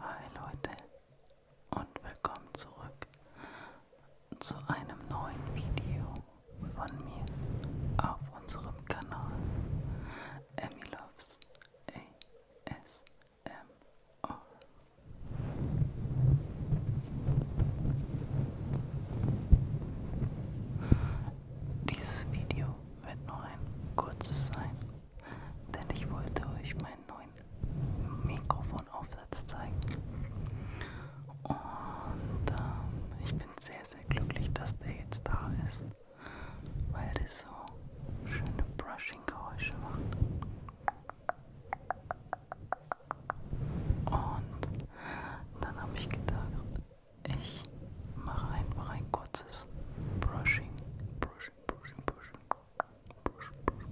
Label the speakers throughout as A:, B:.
A: Hi Leute und willkommen zurück zu einem neuen Video von mir auf unserem Kanal Emmy Loves ASMR. Dieses Video wird nur ein kurzes sein, denn ich wollte euch meinen neuen Mikrofonaufsatz zeigen. Und ähm, ich bin sehr, sehr glücklich, dass der jetzt da ist, weil das so schöne Brushing-Geräusche macht. Und dann habe ich gedacht, ich mache einfach ein kurzes Brushing. Brushing, brushing, brushing. Brush, brush, brush.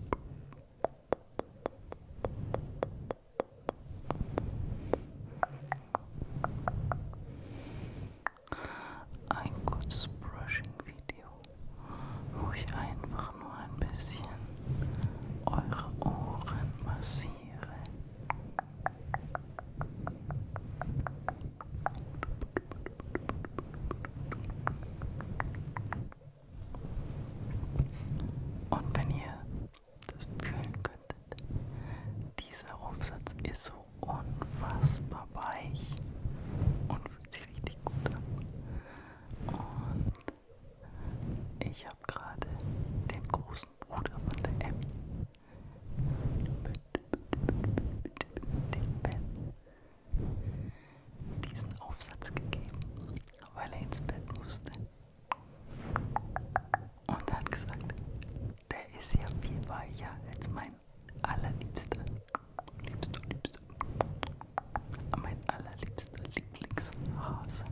A: Ein kurzes Brushing-Video, wo ich einfach einfach nur ein bisschen eure Ohren massieren. Und wenn ihr das fühlen könntet, dieser Aufsatz ist so unfassbar weich und fühlt sich richtig gut an. Und ich habe gerade den großen Bruder von der Emmy mit, mit dem Ben diesen Aufsatz gegeben, weil er ins Bett musste. Und hat gesagt, der ist ja viel weicher als mein allerliebster liebster, liebster, mein allerliebster Lieblingshase.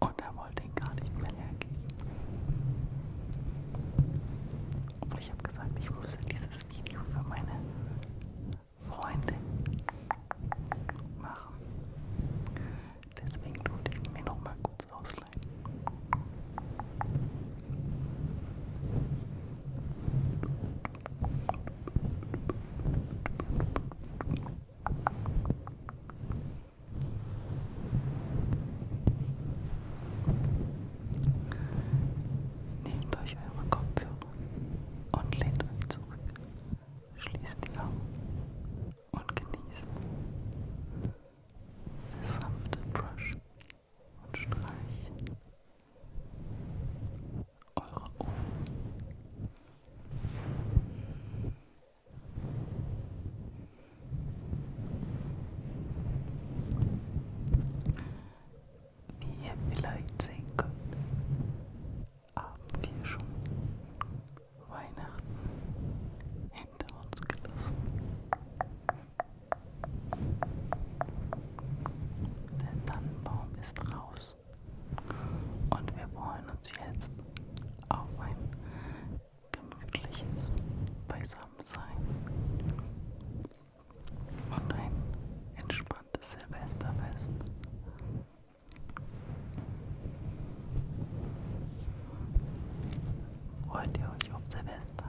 A: Und er wollte ihn gar nicht mehr hergeben. Und ich habe gesagt, ich muss dieses Video für meine Freunde machen. Deswegen durfte ich mir nochmal kurz ausleihen. Nehmt euch eure Kopfhörer und lehnt euch zurück. Schließt die Augen und genießt das sanfte Brush und streichen eure Ohren. Wie ihr vielleicht sehen könnt, haben wir schon Weihnachten hinter uns gelassen. Der Tannenbaum ist raus. Und wir freuen uns jetzt auf ein gemütliches Beisammensein und ein entspanntes Silvesterfest. Freut ihr euch auf Silvester?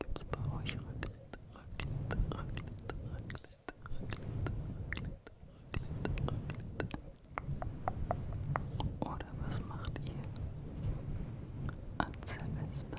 A: Gibt's bei euch Raclette, Raclette, Raclette, Raclette, Raclette, Raclette, Raclette? Oder was macht ihr an Silvester?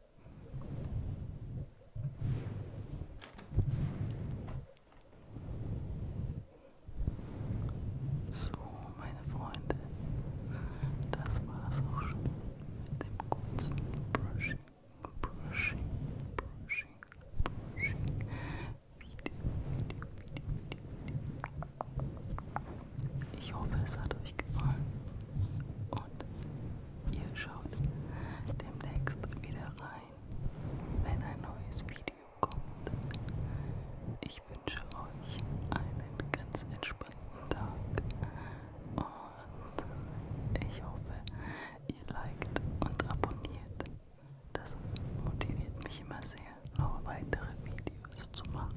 A: So, meine Freunde, das war's auch schon mit dem kurzen Brushing, Brushing, Brushing, Brushing, Video, Video, Video, Video. Ich hoffe, es hat euch gefallen und ihr schaut demnächst wieder rein, wenn ein neues Video kommt. Ich wünsche euch einen ganz entspannten Tag und ich hoffe, ihr liked und abonniert. Das motiviert mich immer sehr, noch weitere Videos Videos zu machen.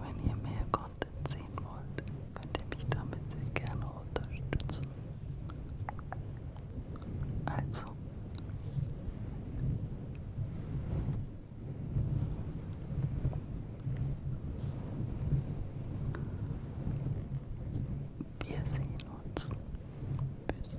A: Wenn ihr mehr Content sehen wollt, könnt ihr mich damit sehr gerne unterstützen. Also. Wir sehen uns. Bis.